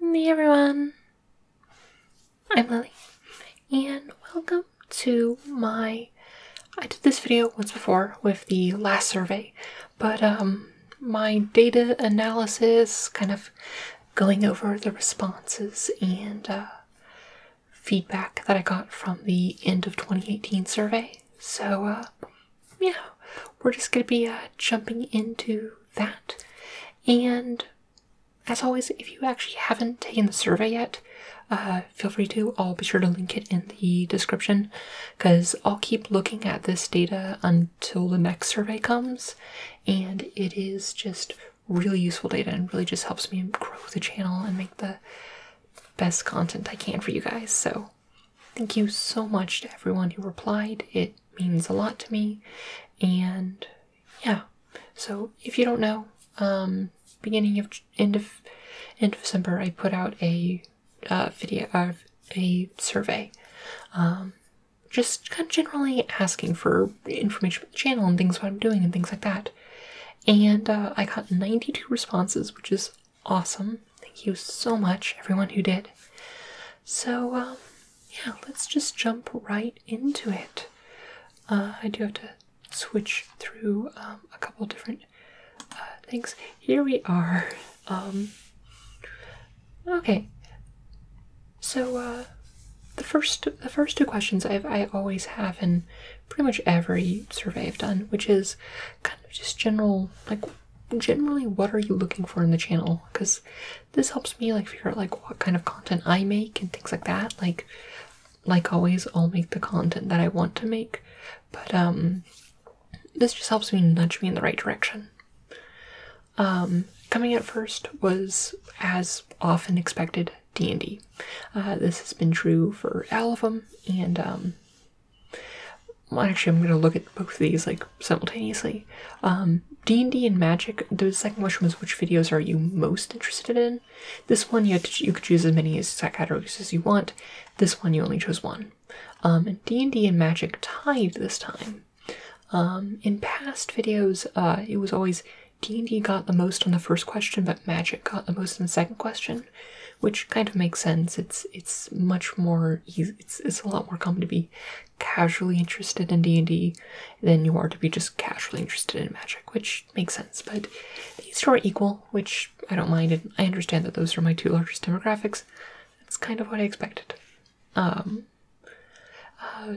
Hey everyone, I'm Lily, and welcome to my. I did this video once before with the last survey, but um, my data analysis, kind of going over the responses and uh, feedback that I got from the end of 2018 survey. So uh, yeah, we're just going to be uh, jumping into that. And as always, if you actually haven't taken the survey yet, uh, feel free to. I'll be sure to link it in the description because I'll keep looking at this data until the next survey comes. And it is just really useful data and really just helps me grow the channel and make the best content I can for you guys. So Thank you so much to everyone who replied. It means a lot to me. And yeah, so if you don't know, um, beginning of end of end of December, I put out a uh, video of a survey, um, just kind of generally asking for information about the channel and things what I'm doing and things like that. And uh, I got 92 responses, which is awesome. Thank you so much, everyone who did. So, um, yeah, let's just jump right into it. Uh, I do have to switch through um, a couple different uh, things. Here we are. Um, okay. So, uh, the first the first two questions i I always have in pretty much every survey I've done, which is kind of just general like generally what are you looking for in the channel because this helps me like figure out like what kind of content i make and things like that like like always i'll make the content that i want to make but um this just helps me nudge me in the right direction um coming out first was as often expected d and d Uh, this has been true for all of them and um well, actually, I'm going to look at both of these like simultaneously. Um, D and D and Magic. The second question was, which videos are you most interested in? This one, you you could choose as many as categories as you want. This one, you only chose one. Um, D and D and Magic tied this time. Um, in past videos, uh, it was always D and D got the most on the first question, but Magic got the most on the second question, which kind of makes sense. It's it's much more easy. It's it's a lot more common to be casually interested in D&D than you are to be just casually interested in magic, which makes sense, but these two are equal, which I don't mind, and I understand that those are my two largest demographics. That's kind of what I expected. Um, uh,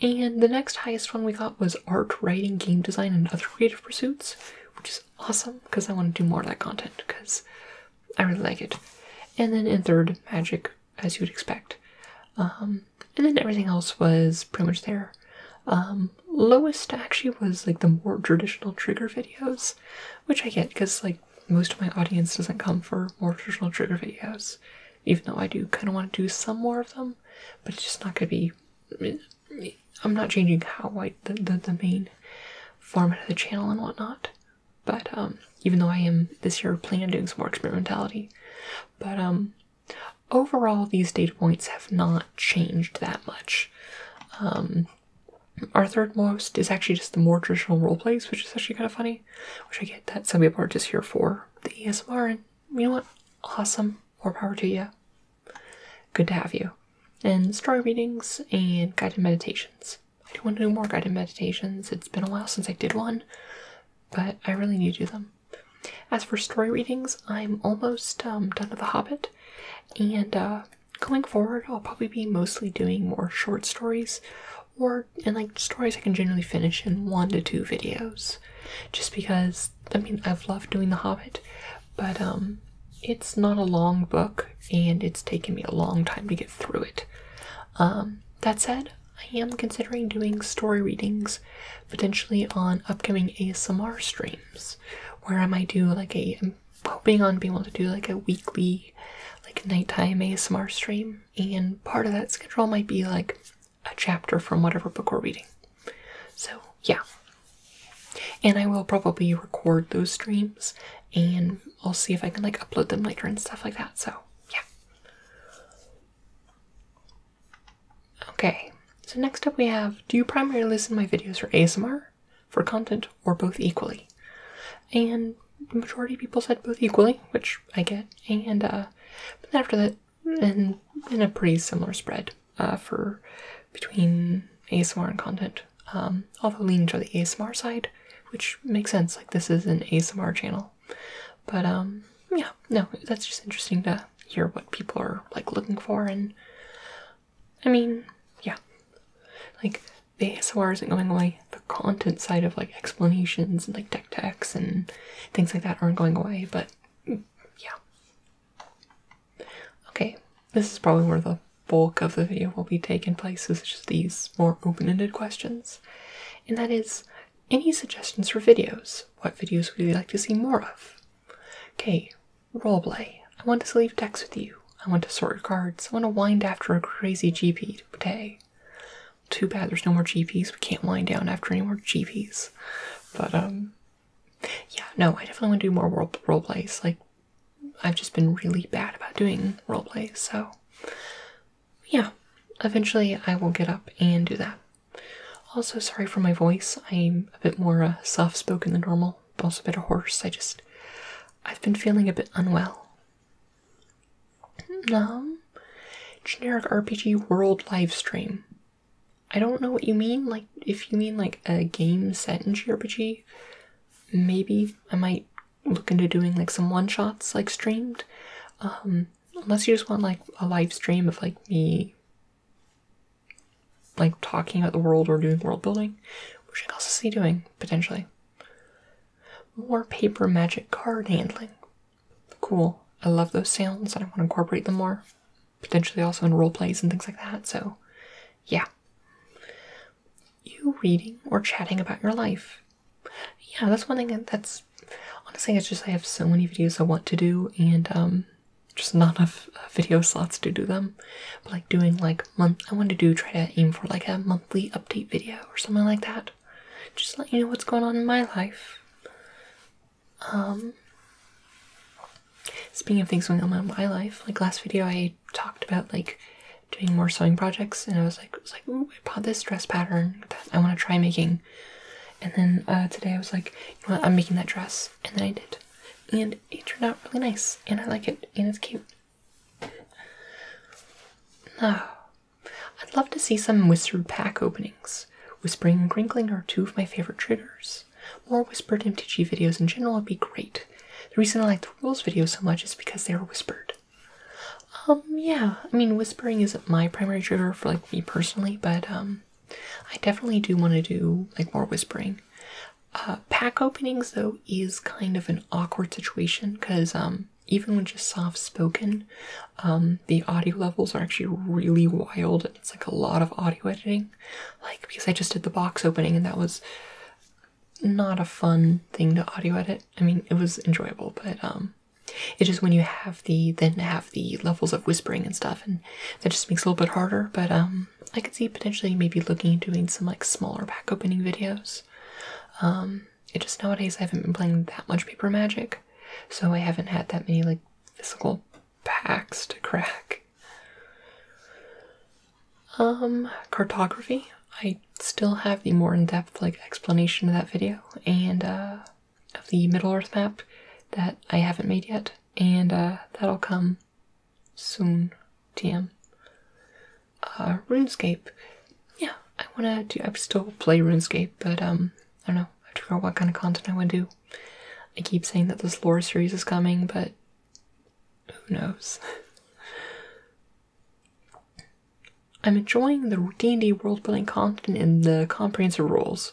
and the next highest one we got was art, writing, game design, and other creative pursuits, which is awesome because I want to do more of that content because I really like it. And then in third, magic, as you would expect. Um, and then everything else was pretty much there. Um, lowest actually was like the more traditional trigger videos, which I get because like most of my audience doesn't come for more traditional trigger videos, even though I do kind of want to do some more of them, but it's just not going to be. I'm not changing how I the the main format of the channel and whatnot. But um, even though I am this year planning on doing some more experimentality, but um, overall these data points have not changed that much. Um, our third most is actually just the more traditional role plays, which is actually kind of funny, which I get that some people are just here for the ASMR, and you know what? Awesome, more power to you. Good to have you. And story readings and guided meditations. I do want to do more guided meditations. It's been a while since I did one, but I really need to do them. As for story readings, I'm almost um, done with The Hobbit, and uh, going forward, I'll probably be mostly doing more short stories or and like stories I can generally finish in one to two videos. Just because I mean I've loved doing The Hobbit, but um, it's not a long book and it's taken me a long time to get through it. Um, that said, I am considering doing story readings potentially on upcoming ASMR streams where I might do like a I'm hoping on being able to do like a weekly like nighttime ASMR stream and part of that schedule might be like a chapter from whatever book we're reading. So yeah. And I will probably record those streams and I'll see if I can like upload them later and stuff like that. So yeah. Okay. So next up we have do you primarily listen to my videos for ASMR, for content, or both equally? And the majority people said both equally, which I get. And uh but after that and in a pretty similar spread uh for between ASMR and content. Um, although leaning to the ASMR side, which makes sense, like this is an ASMR channel. But um, yeah, no, that's just interesting to hear what people are like looking for, and I mean, yeah, like the ASMR isn't going away. The content side of like explanations and like tech techs and things like that aren't going away, but mm, yeah. Okay, this is probably one of the bulk of the video will be taking place is these more open-ended questions. And that is any suggestions for videos? What videos would you like to see more of? Okay, roleplay. I want to leave texts with you. I want to sort your cards. I want to wind after a crazy GP day. Too bad there's no more GPs. We can't wind down after any more GPs. But um, yeah, no, I definitely want to do more role role plays. Like I've just been really bad about doing role so yeah, eventually I will get up and do that. Also, sorry for my voice. I'm a bit more uh, soft spoken than normal, but also a bit hoarse. I just, I've been feeling a bit unwell. No, um, generic RPG world live stream. I don't know what you mean. Like, if you mean like a game set in JRPG, maybe I might look into doing like some one shots like streamed. Um, unless you just want like a live stream of like me like talking about the world or doing world building, which I also see doing potentially. More paper magic card handling. Cool. I love those sounds I want to incorporate them more. Potentially also in role plays and things like that, so yeah. You reading or chatting about your life yeah, that's one thing that's honestly, it's just I have so many videos I want to do and um, just not enough uh, video slots to do them. But like doing like month, I want to do try to aim for like a monthly update video or something like that. Just let you know what's going on in my life. Um, speaking of things going on in my life, like last video I talked about like doing more sewing projects, and I was like, I was bought this dress pattern that I want to try making. And then uh, today I was like, I'm making that dress, and then I did, and it turned out really nice, and I like it, and it's cute. Oh, I'd love to see some whispered pack openings. Whispering and Crinkling are two of my favorite triggers. More whispered MTG videos in general would be great. The reason I like the rules videos so much is because they are whispered. Um, yeah, I mean, whispering isn't my primary trigger for like me personally, but um, I definitely do want to do like more whispering. Uh, pack openings though is kind of an awkward situation because um, even when just soft spoken, um, the audio levels are actually really wild. and It's like a lot of audio editing, like because I just did the box opening and that was not a fun thing to audio edit. I mean, it was enjoyable, but um, it's just when you have the then have the levels of whispering and stuff, and that just makes it a little bit harder. But um, I could see potentially maybe looking doing some like smaller pack opening videos. Um, it just nowadays I haven't been playing that much Paper Magic, so I haven't had that many like physical packs to crack. Um, cartography. I still have the more in-depth like explanation of that video and uh, of the Middle Earth map that I haven't made yet, and uh, that'll come soon. TM. Uh, RuneScape. Yeah, I wanna do. I still play RuneScape, but um, I don't know. I have to figure what kind of content I want to do. I keep saying that this lore series is coming, but who knows? I'm enjoying the D&D world-building content and the comprehensive rules.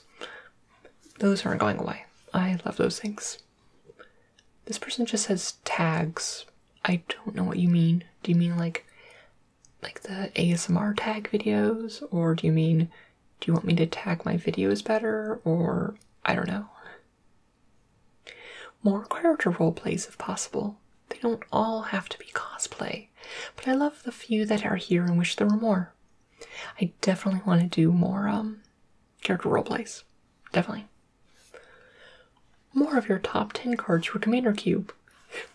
Those aren't going away. I love those things. This person just says tags. I don't know what you mean. Do you mean like like the ASMR tag videos or do you mean do you want me to tag my videos better or I don't know. More character role plays if possible. They don't all have to be cosplay, but I love the few that are here and wish there were more. I definitely want to do more um, character role plays, Definitely. More of your top 10 cards for Commander Cube.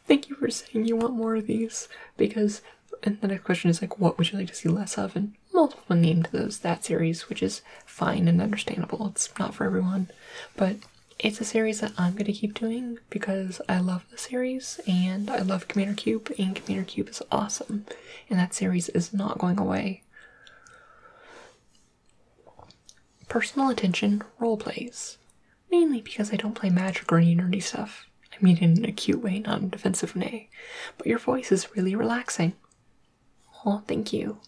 Thank you for saying you want more of these because, and the next question is like, what would you like to see less of? And multiple named those that series, which is fine and understandable. It's not for everyone, but it's a series that I'm going to keep doing because I love the series and I love Commander Cube, and Commander Cube is awesome, and that series is not going away. Personal attention role plays, mainly because I don't play magic or any nerdy stuff. I mean, in a cute way, not in defensive way. But your voice is really relaxing. Oh, thank you.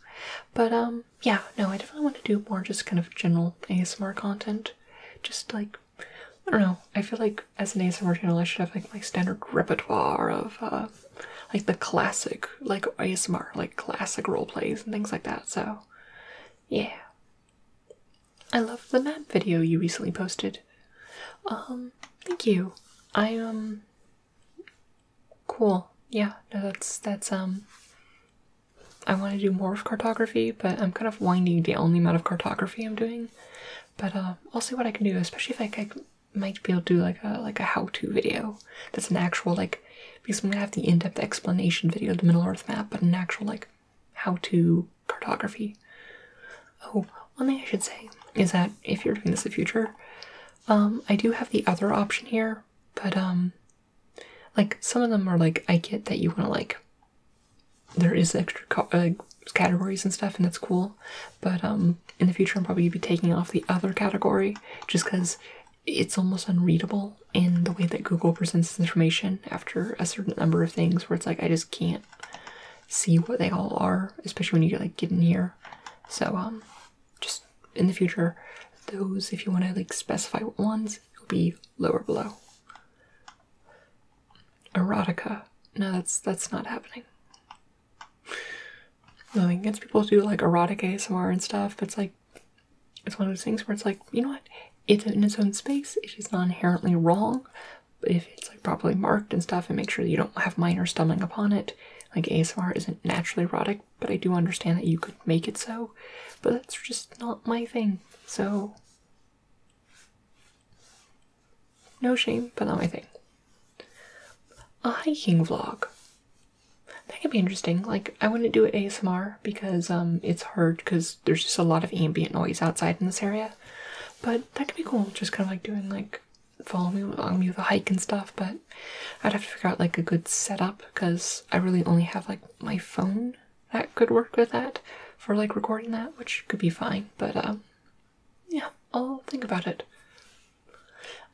But um, yeah, no, I definitely want to do more just kind of general ASMR content. Just like, I don't know, I feel like as an ASMR channel I should have like my standard repertoire of uh, like the classic, like ASMR, like classic role plays and things like that, so yeah. I love the map video you recently posted. Um, thank you. I, um, cool. Yeah, no, that's, that's, um, I want to do more of cartography, but I'm kind of winding the only amount of cartography I'm doing. But uh, I'll see what I can do, especially if I, might be able to do like a like a how-to video that's an actual like because I'm gonna have the in-depth explanation video of the Middle Earth map, but an actual like how-to cartography. Oh, one thing I should say is that if you're doing this in the future, um, I do have the other option here, but um, like some of them are like I get that you want to like. There is extra uh, categories and stuff, and that's cool. But um, in the future, I'm probably be taking off the other category just because it's almost unreadable in the way that Google presents information after a certain number of things, where it's like I just can't see what they all are, especially when you like get in here. So um, just in the future, those if you want to like specify what ones Will be lower below. Erotica. No, that's that's not happening. I Nothing against people who do like erotic ASMR and stuff, but it's like it's one of those things where it's like, you know what? It's in its own space. It is not inherently wrong. But if it's like properly marked and stuff and make sure that you don't have minors stumbling upon it. Like ASMR isn't naturally erotic, but I do understand that you could make it so. But that's just not my thing so no shame, but not my thing. A hiking vlog. That could be interesting. Like I wouldn't do it ASMR because um, it's hard because there's just a lot of ambient noise outside in this area. But that could be cool, just kind of like doing like follow me along me with a hike and stuff, but I'd have to figure out like a good setup because I really only have like my phone that could work with that for like recording that, which could be fine, but um, yeah, I'll think about it.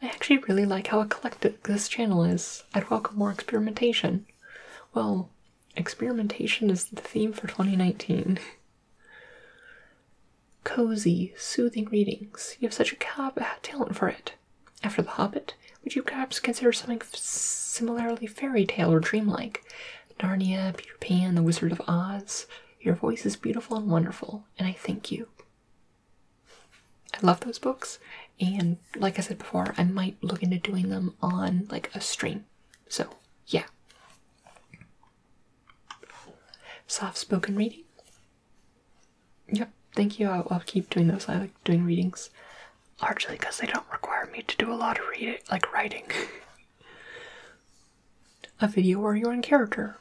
I actually really like how eclectic this channel is. I'd welcome more experimentation. Well, experimentation is the theme for 2019. Cozy, soothing readings. You have such a talent for it. After The Hobbit, would you perhaps consider something similarly fairy tale or dreamlike? Narnia, Peter Pan, The Wizard of Oz. Your voice is beautiful and wonderful, and I thank you. I love those books, and like I said before, I might look into doing them on like a stream. So, yeah. Soft spoken reading. Yep, thank you. I'll, I'll keep doing those. I like doing readings largely because they don't require me to do a lot of reading, like writing. a video where you're in character.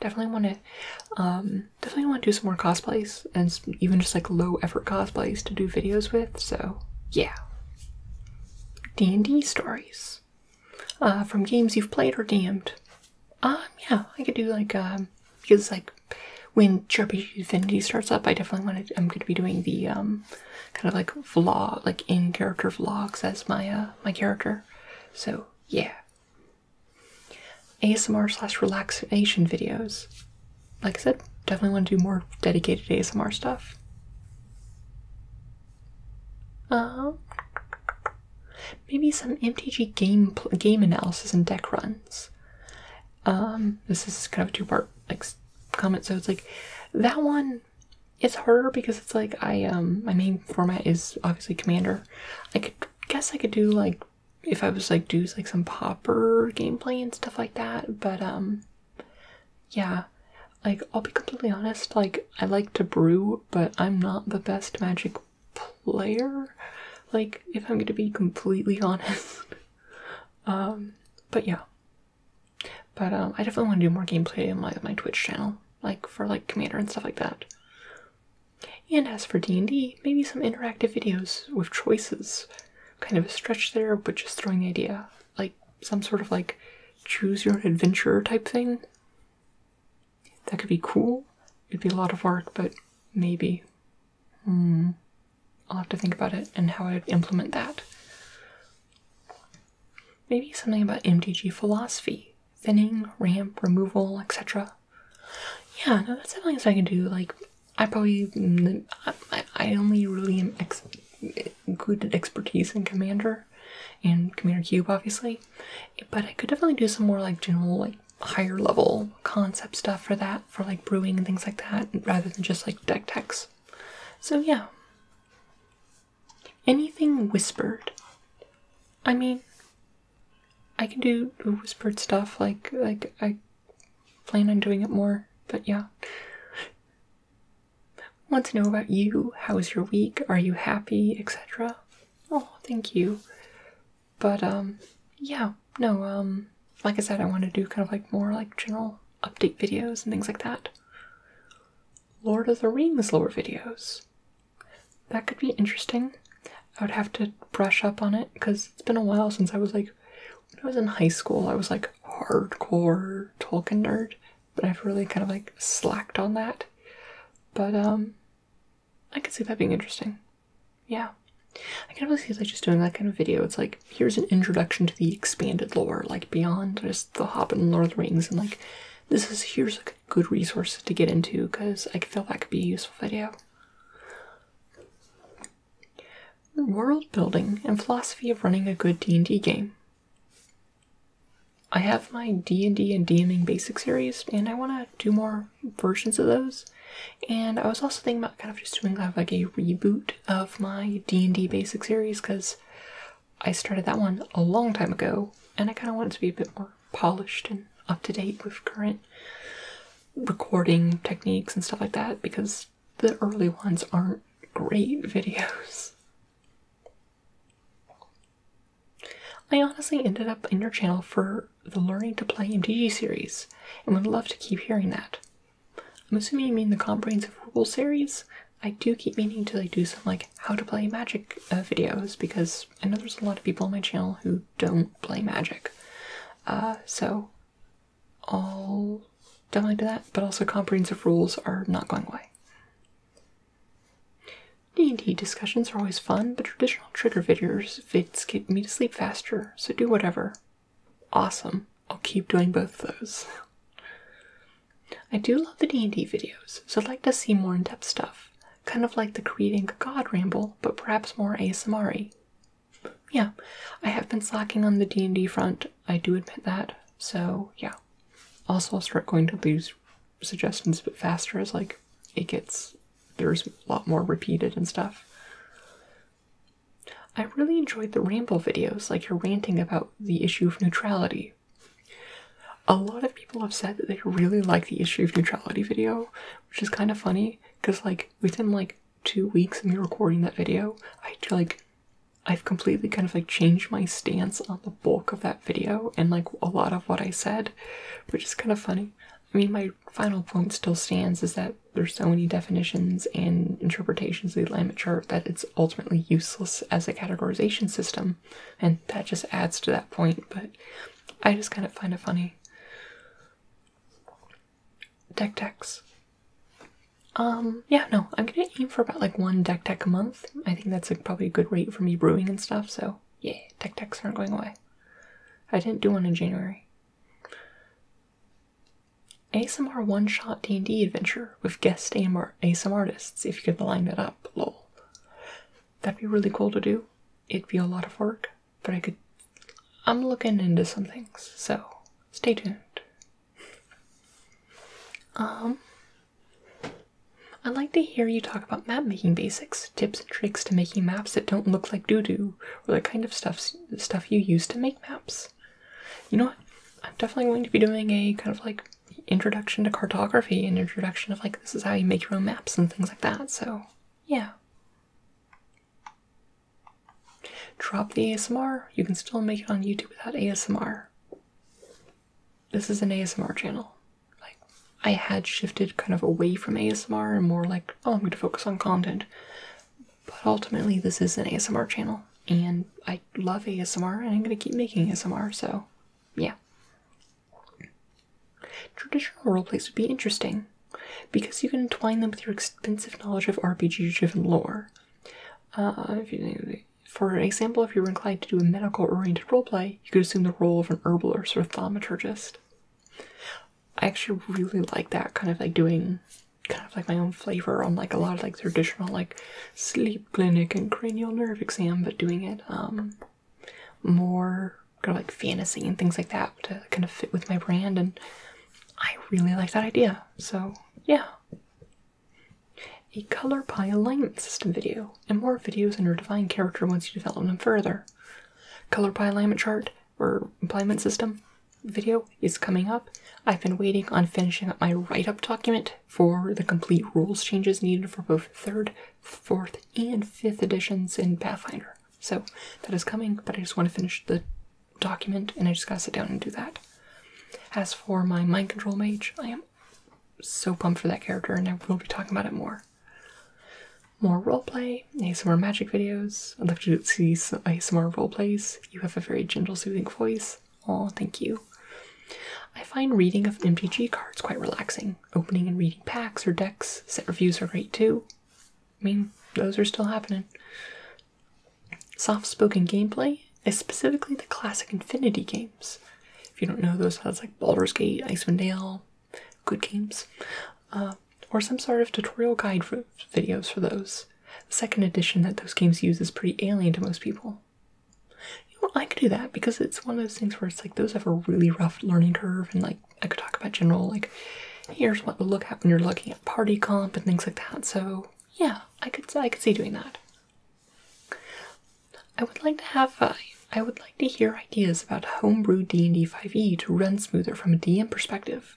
Definitely want to, um, definitely want to do some more cosplays and even just like low effort cosplays to do videos with. So yeah, D and D stories uh, from games you've played or DM'd. Um, yeah, I could do like um, because like when Chirpy Infinity starts up, I definitely want to. I'm going to be doing the um kind of like vlog, like in character vlogs as my uh, my character. So yeah, ASMR slash relaxation videos. Like I said, definitely want to do more dedicated ASMR stuff. Uh, maybe some MTG game game analysis and deck runs. Um, this is kind of a two-part like comment, so it's like that one is harder because it's like I um my main format is obviously Commander. I could guess I could do like if I was like do like some popper gameplay and stuff like that, but um yeah. Like I'll be completely honest, like I like to brew, but I'm not the best magic player. Like if I'm gonna be completely honest. um but yeah. But um, I definitely want to do more gameplay on my, my Twitch channel, like for like Commander and stuff like that. And as for D&D, maybe some interactive videos with choices. Kind of a stretch there, but just throwing the idea. Like some sort of like choose your own adventure type thing. That could be cool. It'd be a lot of work, but maybe. Hmm. I'll have to think about it and how I would implement that. Maybe something about MTG philosophy, thinning, ramp, removal, etc. Yeah, no, that's definitely something I can do. Like, I probably, mm, I, I only really am good at expertise in Commander and Commander Cube, obviously. But I could definitely do some more like general, like higher level concept stuff for that, for like brewing and things like that, rather than just like deck techs. So, yeah. Anything whispered. I mean, I can do whispered stuff, like, like I plan on doing it more, but yeah. Want to know about you? How was your week? Are you happy? Etc. Oh, thank you. But, um, yeah, no, um, like I said, I want to do kind of like more like general update videos and things like that. Lord of the Rings lore videos. That could be interesting. I would have to brush up on it because it's been a while since I was like, when I was in high school, I was like hardcore Tolkien nerd, but I've really kind of like slacked on that. But um, I could see that being interesting. Yeah, I can really see like just doing that kind of video. It's like here's an introduction to the expanded lore, like beyond just the Hobbit and Lord of the Rings, and like this is here's like a good resource to get into because I feel that could be a useful video. World building and philosophy of running a good D and D game. I have my D and D and DMing basic series, and I want to do more versions of those. And I was also thinking about kind of just doing like a reboot of my D&D basic series because I started that one a long time ago and I kind of want it to be a bit more polished and up to date with current recording techniques and stuff like that because the early ones aren't great videos. I honestly ended up in your channel for the Learning to Play MTG series and would love to keep hearing that. I'm assuming you mean the comprehensive rules series. I do keep meaning to like, do some like how to play magic uh, videos because I know there's a lot of people on my channel who don't play magic. Uh, so I'll definitely do that, but also comprehensive rules are not going away. D&D discussions are always fun, but traditional trigger videos vids get me to sleep faster, so do whatever. Awesome. I'll keep doing both of those. I do love the D&D videos, so I'd like to see more in-depth stuff. Kind of like the Creating a God ramble, but perhaps more ASMR-y. Yeah, I have been slacking on the D&D front, I do admit that, so yeah. Also, I'll start going to these suggestions a bit faster as, like, it gets... there's a lot more repeated and stuff. I really enjoyed the ramble videos, like you're ranting about the issue of neutrality. A lot of people have said that they really like the issue of neutrality video, which is kind of funny because, like, within like two weeks of me recording that video, I like I've completely kind of like changed my stance on the bulk of that video and like a lot of what I said, which is kind of funny. I mean, my final point still stands is that there's so many definitions and interpretations of the Atlantic chart that it's ultimately useless as a categorization system, and that just adds to that point, but I just kind of find it funny. Deck techs. Um, yeah, no, I'm gonna aim for about like one deck tech a month. I think that's probably a good rate for me brewing and stuff, so yeah, deck techs aren't going away. I didn't do one in January. ASMR one-shot D&D adventure with guest AMR ASMR artists if you could line that up, lol. That'd be really cool to do. It'd be a lot of work, but I could... I'm looking into some things, so stay tuned. Um, I'd like to hear you talk about map making basics, tips and tricks to making maps that don't look like doodoo, or the kind of stuff, stuff you use to make maps. You know what? I'm definitely going to be doing a kind of like introduction to cartography an introduction of like this is how you make your own maps and things like that. So, yeah. Drop the ASMR. You can still make it on YouTube without ASMR. This is an ASMR channel. Like I had shifted kind of away from ASMR and more like, oh, I'm going to focus on content. But ultimately, this is an ASMR channel and I love ASMR and I'm gonna keep making ASMR, so yeah. Traditional roleplays would be interesting because you can twine them with your extensive knowledge of RPG driven lore. Uh, for example, if you were inclined to do a medical oriented roleplay, you could assume the role of an herbalist or a thaumaturgist. I actually really like that kind of like doing kind of like my own flavor on like a lot of like traditional like sleep clinic and cranial nerve exam, but doing it um more kind of like fantasy and things like that to kind of fit with my brand and I really like that idea. So yeah. A color pie alignment system video and more videos under divine character once you develop them further. Color pie alignment chart or alignment system video is coming up. I've been waiting on finishing up my write-up document for the complete rules changes needed for both third, fourth, and fifth editions in Pathfinder. So that is coming, but I just want to finish the document and I just gotta sit down and do that. As for my mind control mage, I am so pumped for that character and I will be talking about it more. More role play, some more magic videos. I'd love to see some more role plays. You have a very gentle, soothing voice. Oh, thank you. I find reading of MTG cards quite relaxing. Opening and reading packs or decks, set reviews are great too. I mean, those are still happening. Soft spoken gameplay is specifically the classic Infinity games. If you don't know those, that's like Baldur's Gate, Icewind Dale, good games. Uh, or some sort of tutorial guide for videos for those. The second edition that those games use is pretty alien to most people. You know, I could do that because it's one of those things where it's like those have a really rough learning curve, and like I could talk about general like here's what to look at when you're looking at party comp and things like that. So yeah, I could I could see doing that. I would like to have uh, I would like to hear ideas about homebrew D and D 5e to run smoother from a DM perspective.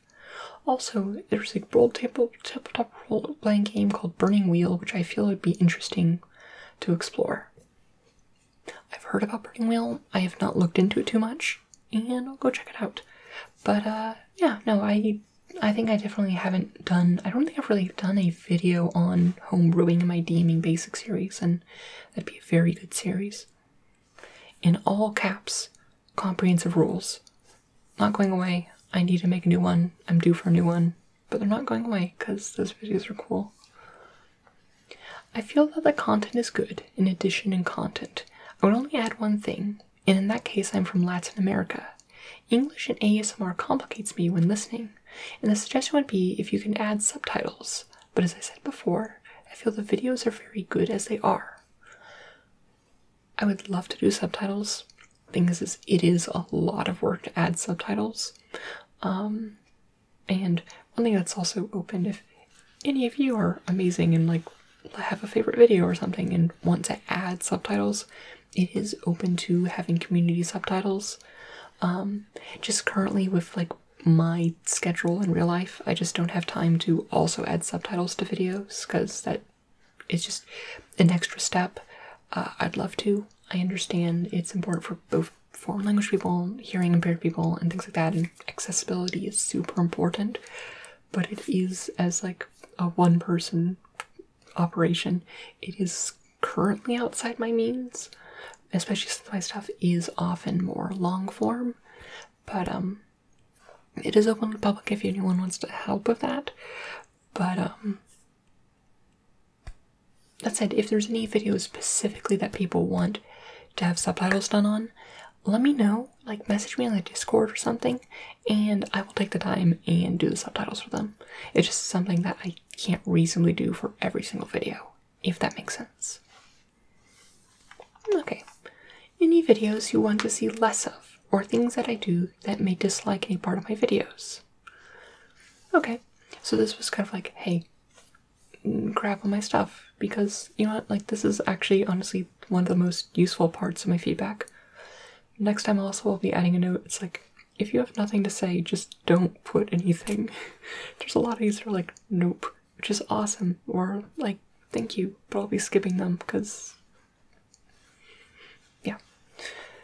Also, there's a roll table tabletop role playing game called Burning Wheel, which I feel would be interesting to explore. I've heard about Burning Wheel, I have not looked into it too much, and I'll go check it out. But uh yeah, no, I I think I definitely haven't done I don't think I've really done a video on homebrewing in my DMing basic series, and that'd be a very good series. In all caps, comprehensive rules not going away. I need to make a new one. I'm due for a new one. But they're not going away because those videos are cool. I feel that the content is good in addition in content. I would only add one thing, and in that case I'm from Latin America. English and ASMR complicates me when listening, and the suggestion would be if you can add subtitles, but as I said before, I feel the videos are very good as they are. I would love to do subtitles thing is, is it is a lot of work to add subtitles. Um, and one thing that's also open if any of you are amazing and like have a favorite video or something and want to add subtitles, it is open to having community subtitles. Um, just currently with like my schedule in real life, I just don't have time to also add subtitles to videos because that it's just an extra step. Uh, I'd love to. I understand it's important for both foreign language people, hearing impaired people, and things like that. And accessibility is super important, but it is as like a one person operation. It is currently outside my means, especially since my stuff is often more long form. But um, it is open to public if anyone wants to help with that. But um, that said, if there's any videos specifically that people want to have subtitles done on, let me know. Like message me on the Discord or something, and I will take the time and do the subtitles for them. It's just something that I can't reasonably do for every single video, if that makes sense. Okay. Any videos you want to see less of, or things that I do that may dislike any part of my videos. Okay, so this was kind of like, hey, grab all my stuff because you know what, like, this is actually honestly one of the most useful parts of my feedback. Next time, also, I'll be adding a note. It's like, if you have nothing to say, just don't put anything. There's a lot of these that are like, nope, which is awesome, or like, thank you, but I'll be skipping them because yeah.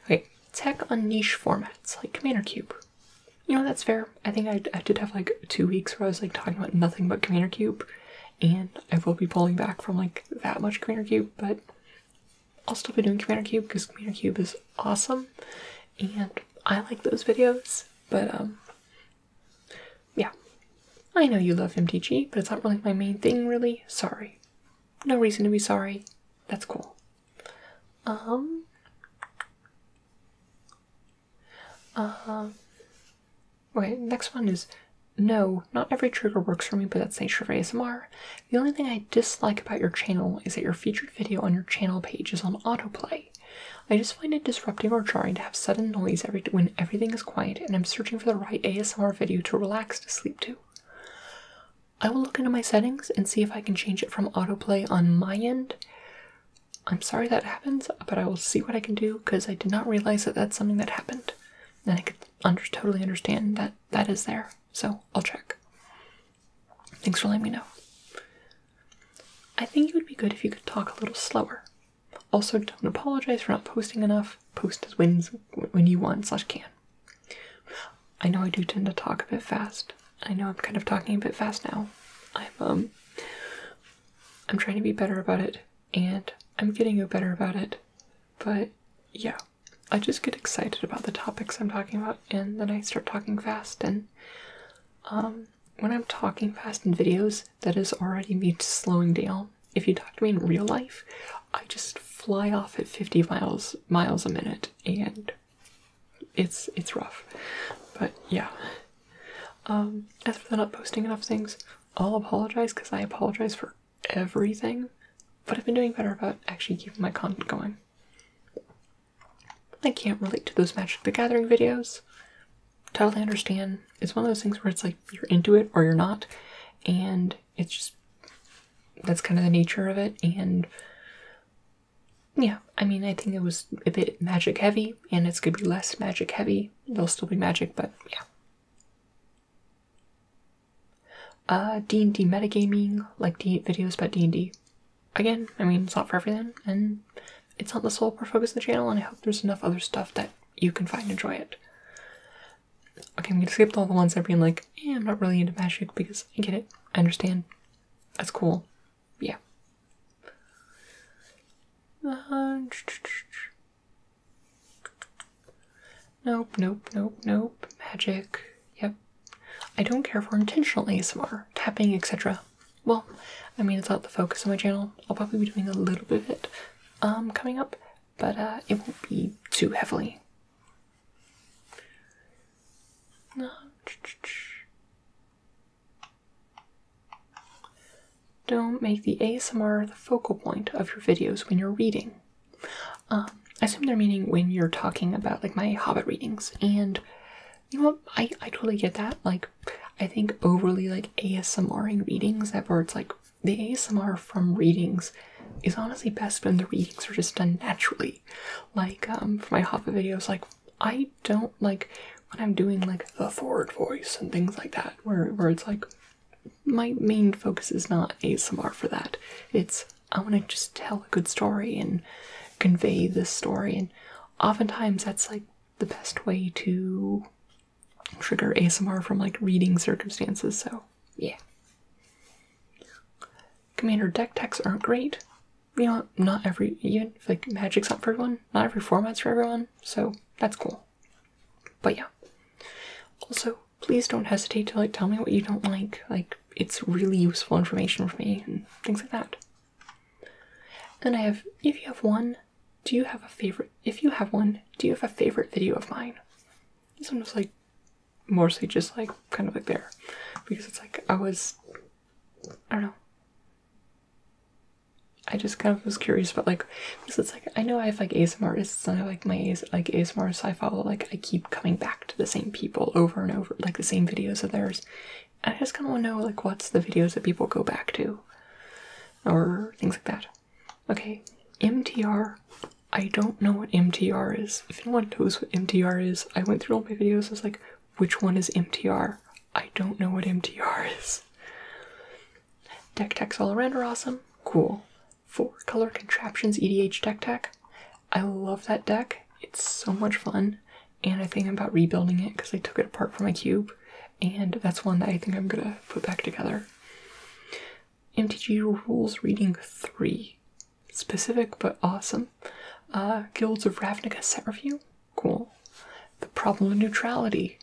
Okay, tech on niche formats like Commander Cube. You know, that's fair. I think I, I did have like two weeks where I was like talking about nothing but Commander Cube, and I will be pulling back from like that much Commander Cube, but I'll still be doing Commander Cube because Commander Cube is awesome and I like those videos, but um, yeah. I know you love MTG, but it's not really my main thing, really. Sorry. No reason to be sorry. That's cool. Um. Um. Right, next one is no, not every trigger works for me, but that's nature of ASMR. The only thing I dislike about your channel is that your featured video on your channel page is on autoplay. I just find it disruptive or jarring to have sudden noise every when everything is quiet and I'm searching for the right ASMR video to relax to sleep to. I will look into my settings and see if I can change it from autoplay on my end. I'm sorry that happens, but I will see what I can do because I did not realize that that's something that happened. And I could totally understand that that is there. So I'll check. Thanks for letting me know. I think it would be good if you could talk a little slower. Also, don't apologize for not posting enough. Post as when, when you want slash can. I know I do tend to talk a bit fast. I know I'm kind of talking a bit fast now. I'm um I'm trying to be better about it and I'm getting better about it. But yeah, I just get excited about the topics I'm talking about and then I start talking fast and um when I'm talking fast in videos, that is already me slowing down. If you talk to me in real life, I just fly off at 50 miles miles a minute and it's it's rough but yeah um as for not posting enough things i'll apologize because i apologize for everything but i've been doing better about actually keeping my content going i can't relate to those magic the gathering videos totally understand it's one of those things where it's like you're into it or you're not and it's just that's kind of the nature of it and yeah i mean i think it was a bit magic heavy and it's gonna be less magic heavy it will still be magic but yeah uh d&d metagaming like D videos about d&d again i mean it's not for everything and it's not the sole focus of the channel and i hope there's enough other stuff that you can find enjoy it okay i'm gonna skip all the ones that being like eh, i'm not really into magic because i get it I understand. That's cool. Yeah. Uh, nope, nope, nope, nope. Magic. Yep. I don't care for intentional ASMR, tapping, etc. Well, I mean, it's not the focus of my channel. I'll probably be doing a little bit of it um, coming up, but uh, it won't be too heavily. No. Don't make the ASMR the focal point of your videos when you're reading. Um, I assume they're meaning when you're talking about like my Hobbit readings, and you know, I I totally get that. Like, I think overly like ASMRing readings that where it's like the ASMR from readings is honestly best when the readings are just done naturally like um for my Hoffa videos like I don't like when I'm doing like the forward voice and things like that where where it's like my main focus is not ASMR for that. It's I want to just tell a good story and convey this story and oftentimes that's like the best way to trigger ASMR from like reading circumstances so yeah commander deck techs aren't great. You know, not every even if, like magic's not for everyone, not every format's for everyone, so that's cool. But yeah. Also, please don't hesitate to like tell me what you don't like. Like it's really useful information for me and things like that. And I have if you have one, do you have a favorite if you have one, do you have a favorite video of mine? This one was like mostly just like kind of like there because it's like I was I don't know I just kind of was curious but like because it's like I know I have like ASMR artists and I like my AS like ASMRs I follow like I keep coming back to the same people over and over like the same videos of theirs I just kind of want to know like what's the videos that people go back to or things like that okay MTR I don't know what MTR is if anyone knows what MTR is I went through all my videos, I was like, which one is MTR? I don't know what MTR is. Deck techs all around are awesome. Cool. Four color contraptions EDH deck tech. I love that deck. It's so much fun. And I think I'm about rebuilding it because I took it apart from my cube. And that's one that I think I'm gonna put back together. MTG rules reading three specific but awesome. Uh, Guilds of Ravnica set review. Cool. The problem of neutrality.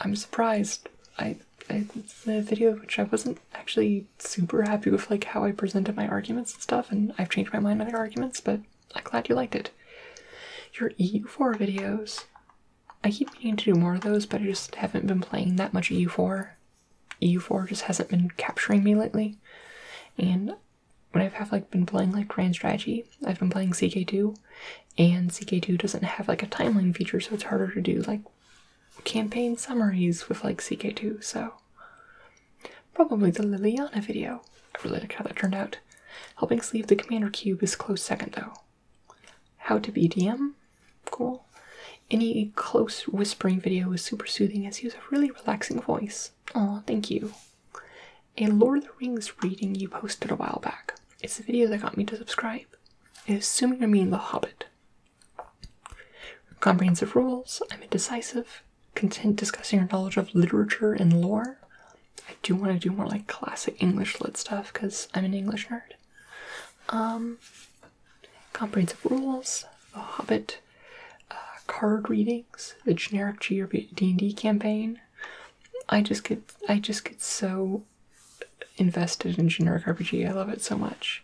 I'm surprised. I, I it's video which I wasn't actually super happy with, like how I presented my arguments and stuff, and I've changed my mind on their arguments, but I'm glad you liked it. Your EU4 videos. I keep meaning to do more of those, but I just haven't been playing that much EU4. EU4 just hasn't been capturing me lately. And when I've have like been playing like Grand Strategy, I've been playing CK2, and CK2 doesn't have like a timeline feature, so it's harder to do like campaign summaries with like CK2, so probably the Liliana video. I really like how that turned out. Helping sleeve the commander cube is close second though. How to be DM? Cool. Any close whispering video is super soothing as he has a really relaxing voice. Oh, thank you. A Lord of the Rings reading you posted a while back. It's the video that got me to subscribe. I assume you mean The Hobbit. Comprehensive rules. I'm indecisive. Content discussing your knowledge of literature and lore. I do want to do more like classic English lit stuff because I'm an English nerd. Um, comprehensive rules. The Hobbit. Uh, card readings, the generic D&D campaign, I just get I just get so invested in generic RPG. I love it so much.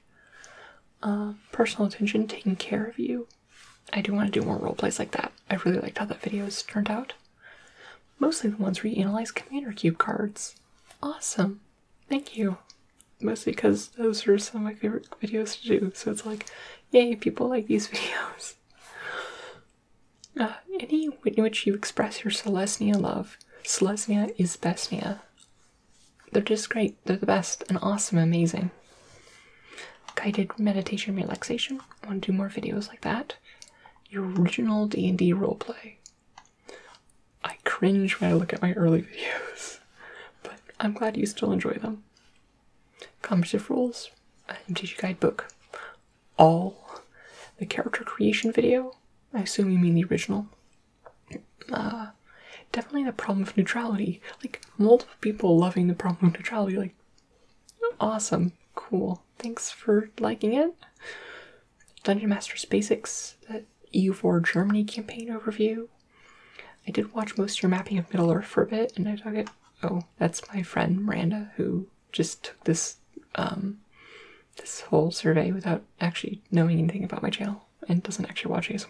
Um, personal attention, taking care of you. I do want to do more role plays like that. I really liked how that video has turned out. Mostly the ones where you analyze commander cube cards. Awesome. Thank you. Mostly because those were some of my favorite videos to do. So it's like, Yay, people like these videos. Uh, any which you express your Selesnya love. Selesnya is bestnia. They're just great. They're the best and awesome, amazing. Guided meditation relaxation. want to do more videos like that. original D&D roleplay. I cringe when I look at my early videos, but I'm glad you still enjoy them. Commutative Rules, an MTG Guidebook, All, the character creation video, I assume you mean the original. Uh, definitely the problem of neutrality. Like, multiple people loving the problem of neutrality. Like, awesome, cool. Thanks for liking it. Dungeon Masters Basics, that EU4 Germany campaign overview. I did watch most of your mapping of Middle Earth for a bit, and I thought it. Oh, that's my friend Miranda who just took this um, this whole survey without actually knowing anything about my channel and doesn't actually watch ASMR.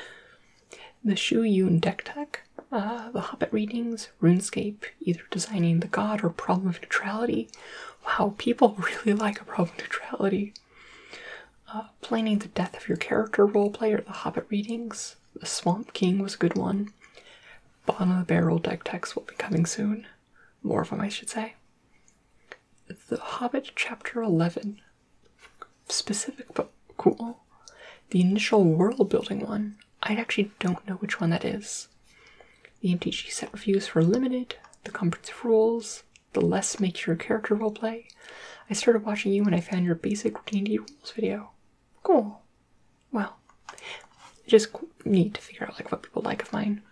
the Shu Yun Deck Tech, uh, the Hobbit readings, RuneScape, either designing the god or problem of neutrality. Wow, people really like a problem of neutrality. Uh, planning the death of your character roleplay or the Hobbit readings. The Swamp King was a good one. Bottom the Barrel deck text will be coming soon. More of them, I should say. The Hobbit Chapter 11. Specific but cool. The initial world building one. I actually don't know which one that is. The MTG set reviews for Limited, The Comforts of Rules, The Less mature character role play. I started watching you when I found your basic D&D rules video. Cool. Well, just need to figure out like what people like of mine.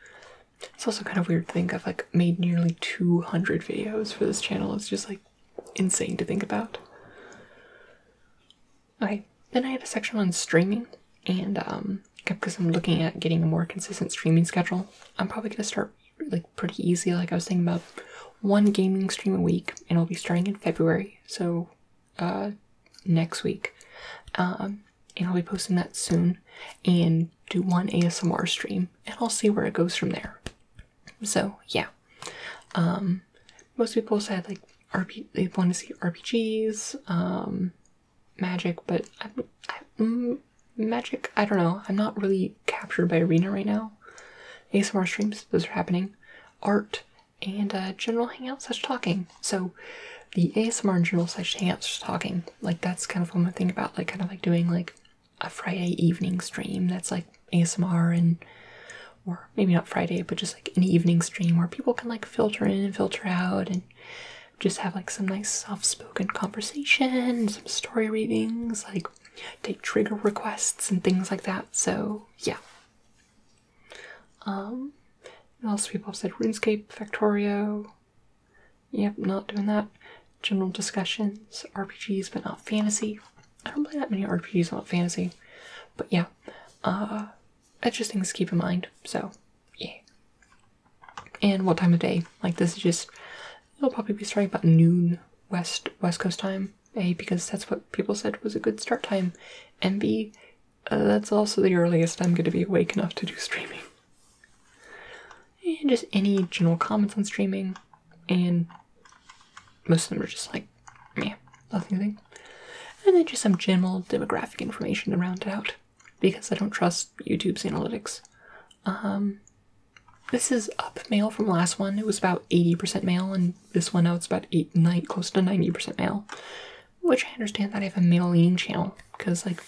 It's also kind of weird to think I've like made nearly 200 videos for this channel. It's just like insane to think about. Okay, then I have a section on streaming and um because I'm looking at getting a more consistent streaming schedule, I'm probably gonna start really pretty easy. Like I was thinking about one gaming stream a week, and I'll be starting in February, so uh, next week. Um, and I'll be posting that soon, and do one ASMR stream, and I'll see where it goes from there. So yeah, um, most people said like RP they want to see RPGs, um, Magic, but I'm, Magic, I don't know. I'm not really captured by Arena right now. ASMR streams, those are happening, art, and uh, general hangout, such talking. So the ASMR and general such hangouts such talking, like that's kind of one I'm thinking about, like kind of like doing like a Friday evening stream that's like ASMR and or maybe not Friday, but just like an evening stream where people can like filter in and filter out and just have like some nice soft spoken conversation, some story readings, like take trigger requests and things like that. So yeah. Um, what else people have said? RuneScape, Factorio. Yep, not doing that. General discussions, RPGs, but not fantasy. I don't play that many RPGs, not fantasy. But yeah, uh, that's just things to keep in mind. So, yeah. And what time of day? Like this is just. It'll probably be starting about noon west West Coast time. A, because that's what people said was a good start time. And B, uh, that's also the earliest I'm going to be awake enough to do streaming. And just any general comments on streaming. And most of them are just like, yeah, nothing. And then just some general demographic information to round it out. Because I don't trust YouTube's analytics. Um, this is up male from last one. It was about 80% male and this one it's about eight, nine, close to 90% male. Which I understand that I have a male leaning channel because, like,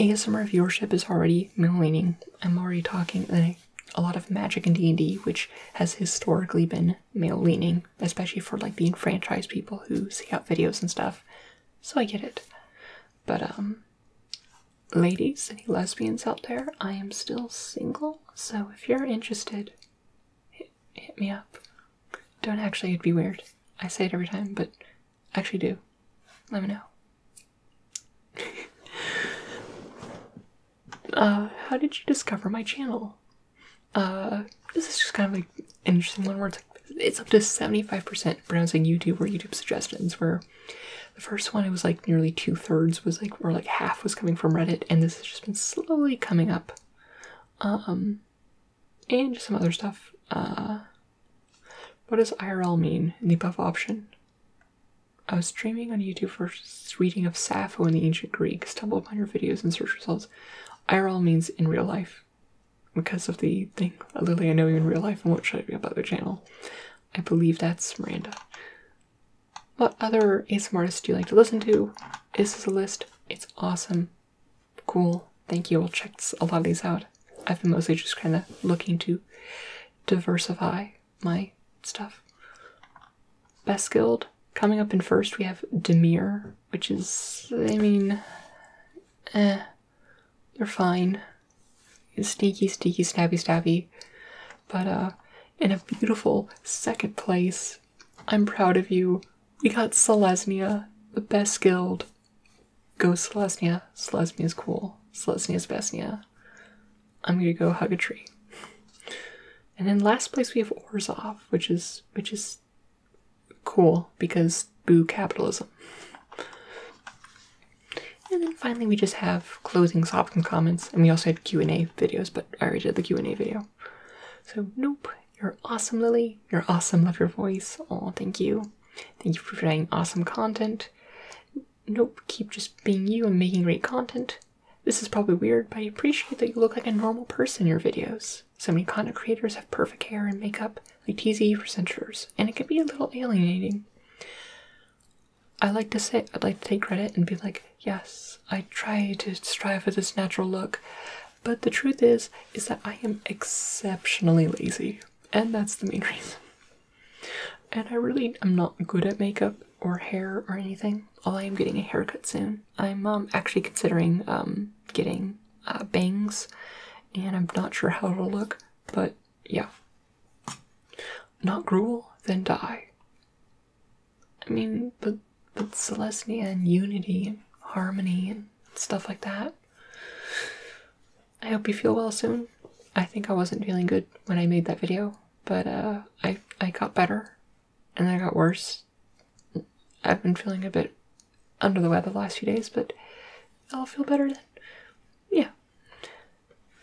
ASMR viewership is already male leaning. I'm already talking like, a lot of Magic and D&D, which has historically been male leaning, especially for like the enfranchised people who seek out videos and stuff. So I get it. But um, ladies, any lesbians out there? I am still single so if you're interested, hit, me up. Don't actually, it'd be weird. I say it every time, but actually do. Let me know. uh, how did you discover my channel? Uh, this is just kind of like interesting one where it's like it's up to 75% pronouncing YouTube or YouTube suggestions, where the first one it was like nearly two-thirds was like or like half was coming from Reddit, and this has just been slowly coming up. Um, and some other stuff. Uh, what does IRL mean in the above option? I was streaming on YouTube for reading of Sappho in the ancient Greek, stumbled upon your videos in search results. IRL means in real life. Because of the thing, literally I know you in real life and what should I be about the channel. I believe that's Miranda. What other ASMR artists do you like to listen to? Is this a list? It's awesome. Cool. Thank you. I'll check a lot of these out. I've been mostly just kind of looking to diversify my stuff. Best Guild. Coming up in first, we have Demir, which is, I mean, eh, they're fine. It's sneaky, sneaky, snappy, stabby but uh, in a beautiful second place. I'm proud of you. We got Selesnya, the best guild. Go Selesnya. Selesnya's cool. Selesnya's bestnya. I'm gonna go hug a tree. And then last place we have Orzov, which is which is cool because boo capitalism. And then finally we just have closing Sopkin comments and we also had Q&A videos but. I already did the Q&A video. So nope, you're awesome, Lily. You're awesome. Love your voice. Oh, thank you. Thank you for providing awesome content. Nope, keep just being you and making great content. This is probably weird, but I appreciate that you look like a normal person in your videos. So many content creators have perfect hair and makeup, like TZ for censors, and it can be a little alienating. I like to say, I'd like to take credit and be like, yes, I try to strive for this natural look. But the truth is, is that I am exceptionally lazy, and that's the main reason. And I really am not good at makeup or hair or anything. Although I am getting a haircut soon. I'm um, actually considering um, getting uh, bangs, and I'm not sure how it'll look, but yeah. Not gruel, then die. I mean, but but Celestia and unity and harmony and stuff like that. I hope you feel well soon. I think I wasn't feeling good when I made that video, but uh, I I got better, and I got worse. I've been feeling a bit under the weather the last few days, but I'll feel better then. Yeah.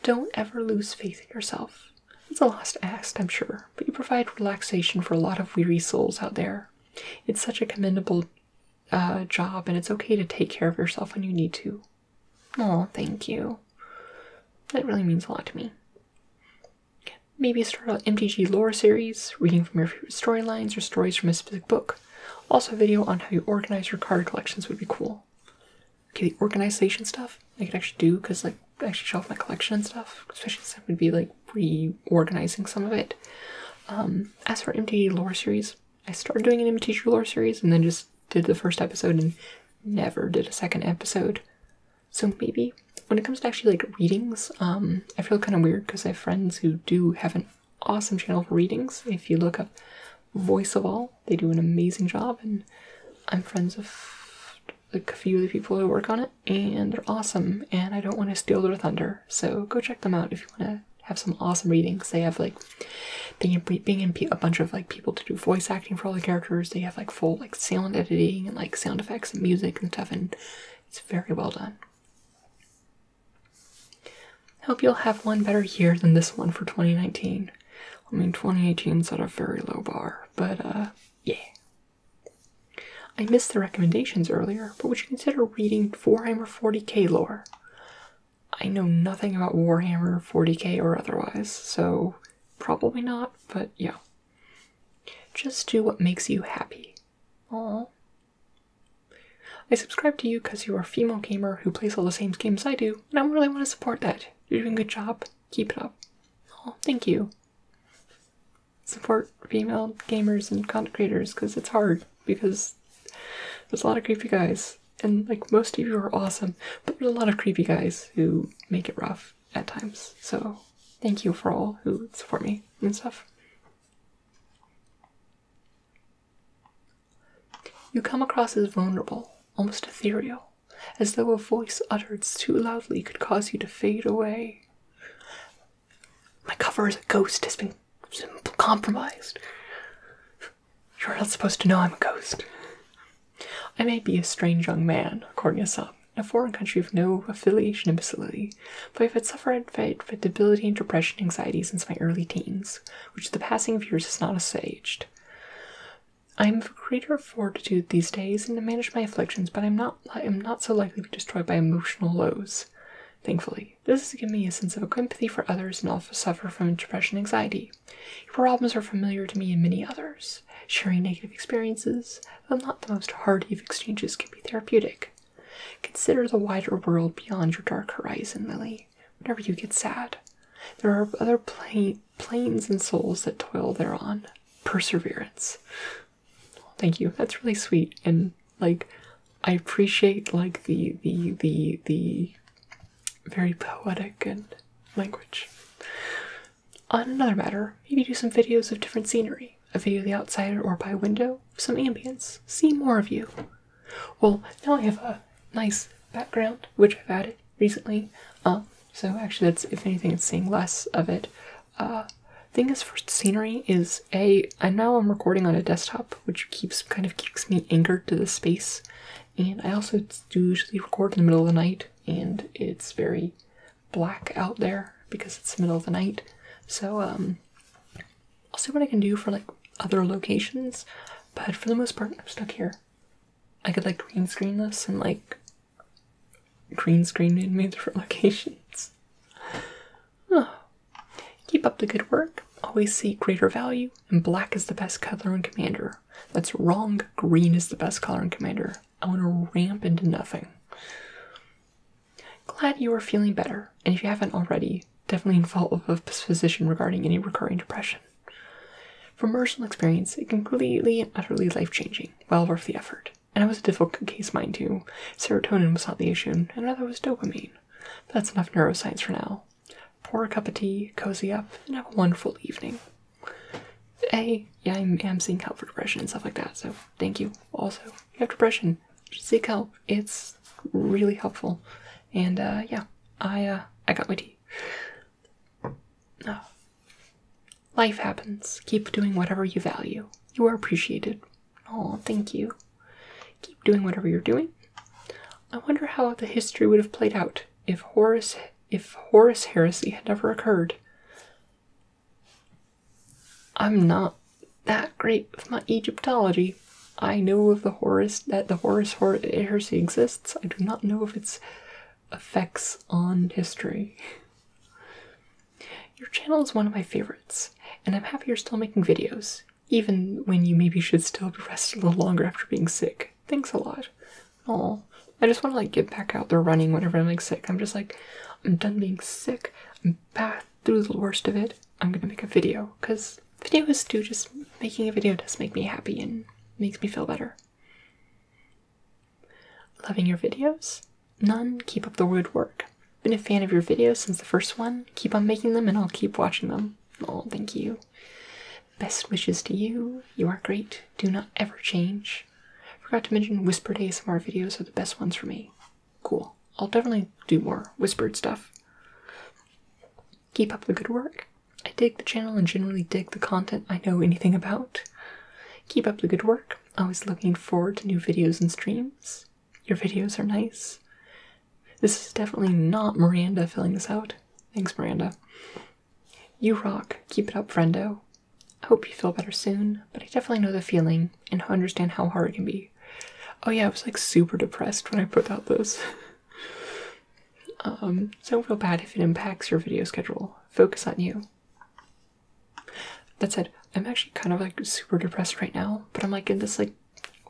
Don't ever lose faith in yourself. It's a lost act, I'm sure, but you provide relaxation for a lot of weary souls out there. It's such a commendable uh, job, and it's okay to take care of yourself when you need to. Oh, thank you. That really means a lot to me. Maybe start an MTG lore series, reading from your favorite storylines or stories from a specific book. Also, a video on how you organize your card collections would be cool. Okay, the organization stuff I could actually do because, like, actually show off my collection and stuff, especially since I would be like reorganizing some of it. Um, as for MTD lore series, I started doing an MTG lore series and then just did the first episode and never did a second episode. So maybe when it comes to actually like readings, um, I feel kind of weird because I have friends who do have an awesome channel for readings. If you look up Voice of All, they do an amazing job, and I'm friends of like a few of the people who work on it, and they're awesome. And I don't want to steal their thunder, so go check them out if you want to have some awesome readings. They have like being in a bunch of like people to do voice acting for all the characters. They have like full like sound editing and like sound effects and music and stuff, and it's very well done. Hope you'll have one better year than this one for 2019. I mean, 2018 set a very low bar, but uh, yeah, I missed the recommendations earlier, but would you consider reading Warhammer 40k lore? I know nothing about Warhammer 40k or otherwise, so probably not, but yeah. Just do what makes you happy. Aww. I subscribe to you because you are a female gamer who plays all the same games I do, and I really want to support that. You're doing a good job. Keep it up. Oh, thank you support female gamers and content creators because it's hard because there's a lot of creepy guys and like most of you are awesome but there's a lot of creepy guys who make it rough at times so thank you for all who support me and stuff you come across as vulnerable almost ethereal as though a voice uttered too loudly could cause you to fade away. My cover as a ghost has been compromised. You're not supposed to know I'm a ghost. I may be a strange young man, according to some, a foreign country with no affiliation and facility, but I have had suffered from debility and depression anxiety since my early teens, which the passing of years has not assuaged. I'm of greater fortitude these days and to manage my afflictions, but I'm not I'm not so likely to be destroyed by emotional lows. Thankfully, this has given me a sense of empathy for others and also suffer from depression and anxiety. Your problems are familiar to me and many others. Sharing negative experiences, though not the most hearty of exchanges, can be therapeutic. Consider the wider world beyond your dark horizon, Lily, whenever you get sad. There are other pla planes and souls that toil thereon. Perseverance. Thank you. That's really sweet. And like I appreciate like the the the the very poetic and language. On another matter, maybe do some videos of different scenery. A video of the outside or by window, some ambience. See more of you. Well, now I have a nice background, which I've added recently. Um, so actually that's if anything it's seeing less of it uh, thing is for scenery is a and now I'm recording on a desktop, which keeps kind of keeps me anchored to the space, and I also do usually record in the middle of the night, and it's very black out there because it's the middle of the night. So um, I'll see what I can do for like other locations, but for the most part, I'm stuck here. I could like green screen this and like green screen made me the relocations. Oh. Keep up the good work. Always seek greater value, and black is the best color and commander. That's wrong. Green is the best color and commander. I want to ramp into nothing. Glad you are feeling better, and if you haven't already, definitely involve a physician regarding any recurring depression. From personal experience, it completely and utterly life changing, well worth the effort. And I was a difficult case, mind you. Serotonin was not the issue, another was dopamine. that's enough neuroscience for now. Pour a cup of tea, cozy up, and have a wonderful evening. Hey, yeah, I'm, i seeing help for depression and stuff like that, so thank you. Also, you have depression, seek help. It's really helpful. And uh, yeah, I uh, I got my tea. Oh, Life happens. Keep doing whatever you value. You are appreciated. Oh, thank you. Keep doing whatever you're doing. I wonder how the history would have played out if Horace if Horace heresy had never occurred. I'm not that great with my Egyptology. I know of the Horus that the Horus heresy exists. I do not know of its effects on history. Your channel is one of my favorites, and I'm happy you're still making videos, even when you maybe should still rest a little longer after being sick. Thanks a lot. Aw, I just want to like get back out there running whenever I'm like sick. I'm just like, I'm done being sick. I'm back through the worst of it. I'm gonna make a video because videos do just making a video does make me happy and makes me feel better. Loving your videos? None. Keep up the good work. Been a fan of your videos since the first one. Keep on making them and I'll keep watching them. Oh, thank you. Best wishes to you. You are great. Do not ever change. Forgot to mention whispered ASMR videos are the best ones for me. Cool. I'll definitely do more whispered stuff. Keep up the good work. I dig the channel and generally dig the content I know anything about. Keep up the good work back. Always looking forward to new videos and streams. Your videos are nice. This is definitely not Miranda filling this out. Thanks, Miranda. You rock. Keep it up, friendo. I hope you feel better soon, but I definitely know the feeling and understand how hard it can be. Oh yeah, I was like super depressed when I put out this. um, so don't feel bad if it impacts your video schedule. Focus on you. That said, I'm actually kind of like super depressed right now, but I'm like in this like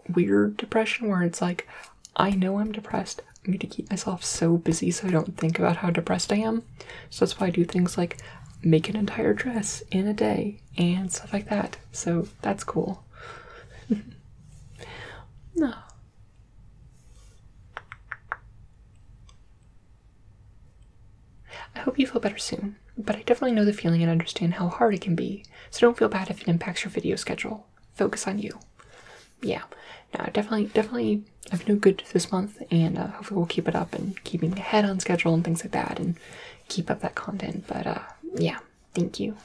weird depression where it's like, I know I'm depressed. I'm going to keep myself so busy so I don't think about how depressed I am. So that's why I do things like make an entire dress in a day and stuff like that. So that's cool. no. I hope you feel better soon, but I definitely know the feeling and understand how hard it can be, so don't feel bad if it impacts your video schedule. Focus on you. Yeah, no, definitely, definitely, I've been good this month, and uh, hopefully we'll keep it up and keeping ahead on schedule and things like that, and keep up that content. But uh, yeah, thank you.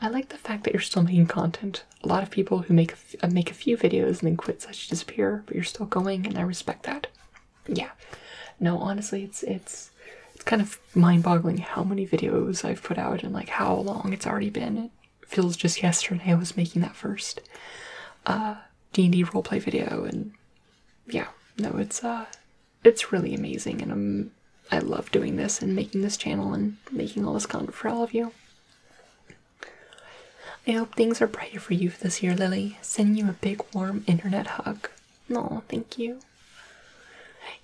I like the fact that you're still making content. A lot of people who make uh, make a few videos and then quit, such disappear, but you're still going, and I respect that yeah no honestly it's it's it's kind of mind-boggling how many videos i've put out and like how long it's already been it feels just yesterday i was making that first uh d&d roleplay video and yeah no it's uh it's really amazing and i'm i love doing this and making this channel and making all this content for all of you I hope things are brighter for you this year, Lily. Sending you a big, warm internet hug. No, thank you.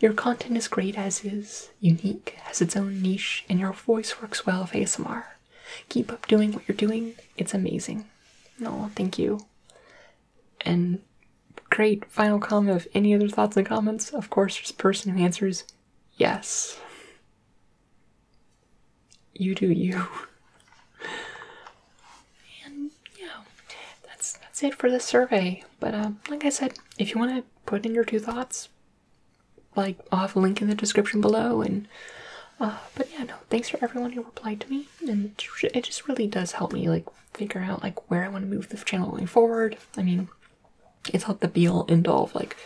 Your content is great as is, unique, has its own niche, and your voice works well with ASMR. Keep up doing what you're doing, it's amazing. No, thank you. And great final comment of any other thoughts and comments. Of course, there's a person who answers yes you do you. And yeah, that's that's it for the survey. But um, like I said, if you want to put in your two thoughts, like I'll have a link in the description below. And uh, but yeah, no, thanks for everyone who replied to me, and it just really does help me like figure out like where I want to move the channel going forward. I mean, it's not the be all end all like,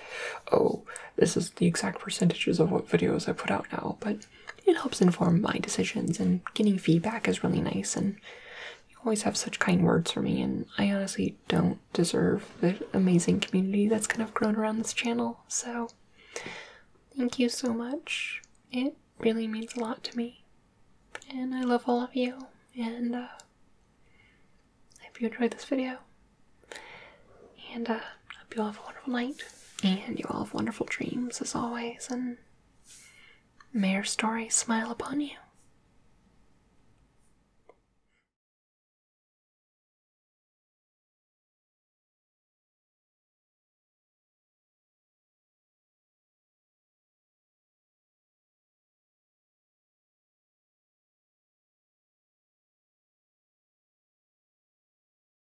oh, this is the exact percentages of what videos I put out now, but it helps inform my decisions, and getting feedback is really nice. And you always have such kind words for me, and I honestly don't deserve the amazing community that's kind of grown around this channel. So, thank you so much. It really means a lot to me, and I love all of you. And uh, I hope you enjoyed this video. And uh, hope you all have a wonderful night and you all have wonderful dreams as always. And may your story smile upon you.